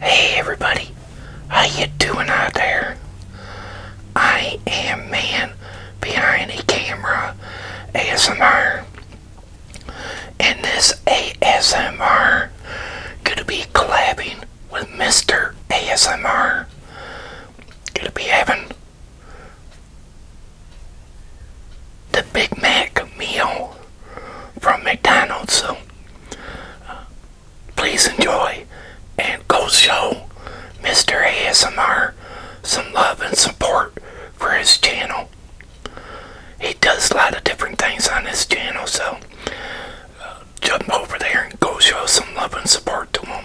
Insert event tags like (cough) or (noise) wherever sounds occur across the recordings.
Hey everybody, how you doing out there? I am man behind the camera ASMR and this ASMR gonna be collabing with Mr. ASMR gonna be having the Big Mac meal from McDonald's so please enjoy and go show Mr. ASMR some love and support for his channel. He does a lot of different things on his channel, so uh, jump over there and go show some love and support to him.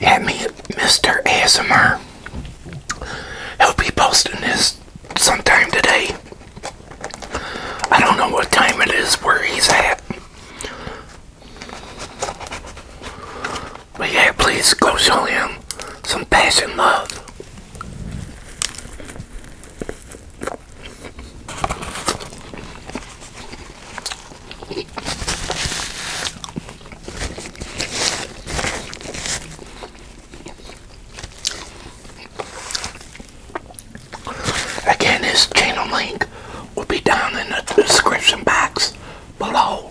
At me, Mr. ASMR. He'll be posting this sometime today. I don't know what time it is where he's at. But yeah, please go show him some passion love. Again, his channel link will be down in the description box below.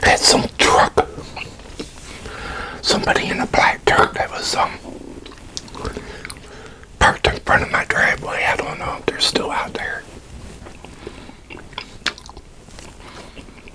That's some truck. Somebody in a black truck that was um, parked in front of my driveway. I don't know if they're still out there.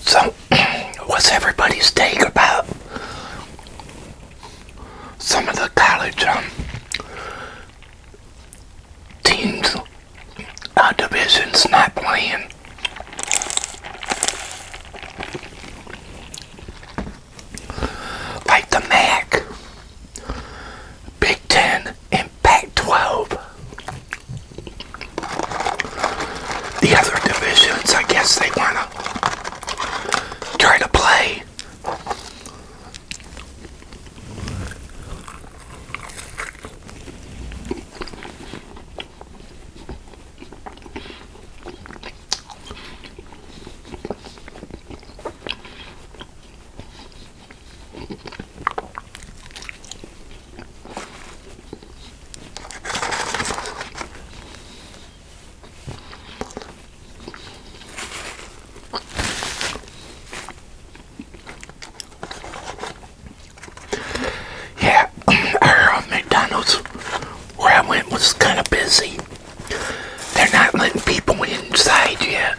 So, (clears throat) what's everybody's take about some of the college um, teams, uh, divisions not playing? Like the MAC, Big Ten, and Pac 12 the other divisions, I guess they want to try to play. Yeah, our (clears throat) uh, McDonald's where I went was kind of busy. They're not letting people inside yet.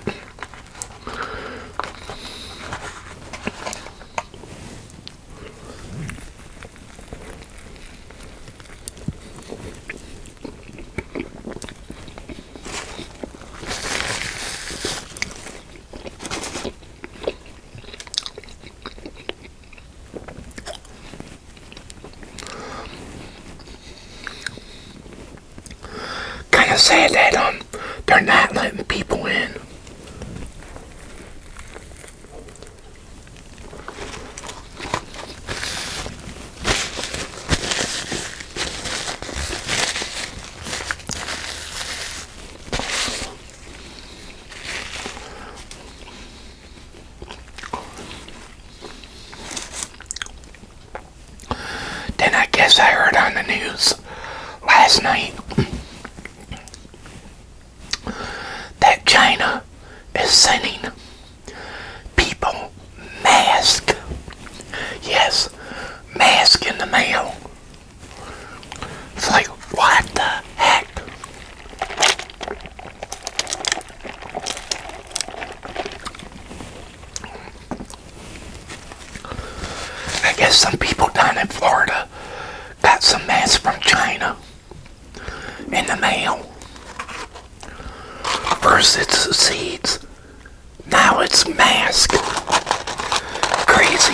Kind of sad that um, they're not letting people in. Then I guess I heard on the news last night that China is sending people mask. Yes, mask in the mail. It's like, what the heck? I guess some people down in Florida got some masks from China in the mail. First it's seeds, now it's mask. Crazy.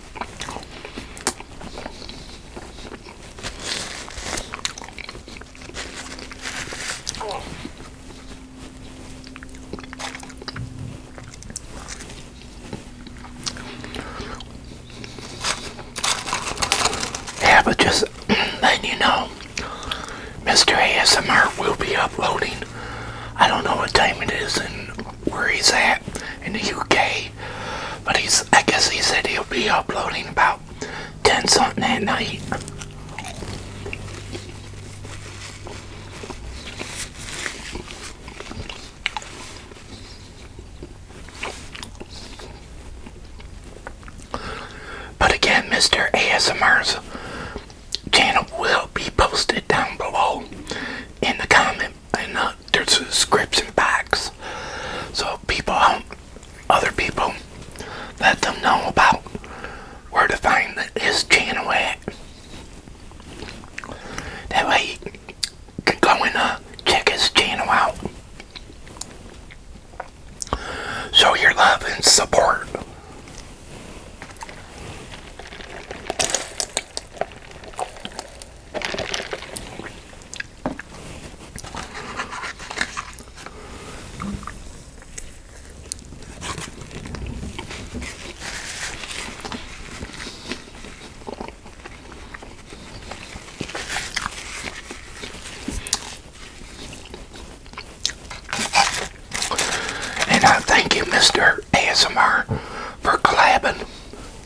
Yeah, but just (clears throat) letting you know, Mr. ASMR will be uploading. I don't know what time it is and where he's at in the UK. But he's, I guess he said he'll be uploading about 10 something at night. But again, Mr. ASMR's channel will be posted down below in the comment and uh, there's scripts and facts. So people, um, other people, let them know about where to find his channel at. That way you can go and uh, check his channel out. Show your love and support. And I thank you, Mr. ASMR, for collabing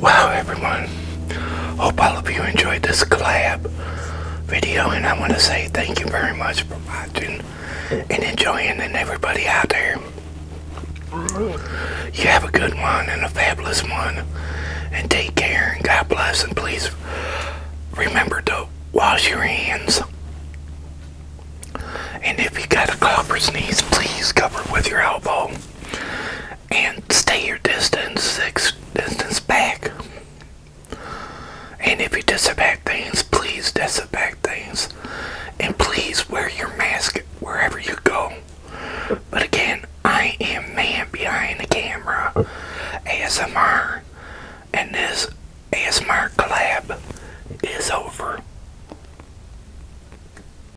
Wow, everyone. Hope all of you enjoyed this collab video, and I want to say thank you very much for watching and enjoying, and everybody out there. You have a good one and a fabulous one, and take care, and God bless, and please remember to wash your hands. And if you got a cough or sneeze, please cover with your elbow and stay your distance six distance back and if you disinfect things please disinfect things and please wear your mask wherever you go but again i am man behind the camera asmr and this asmr collab is over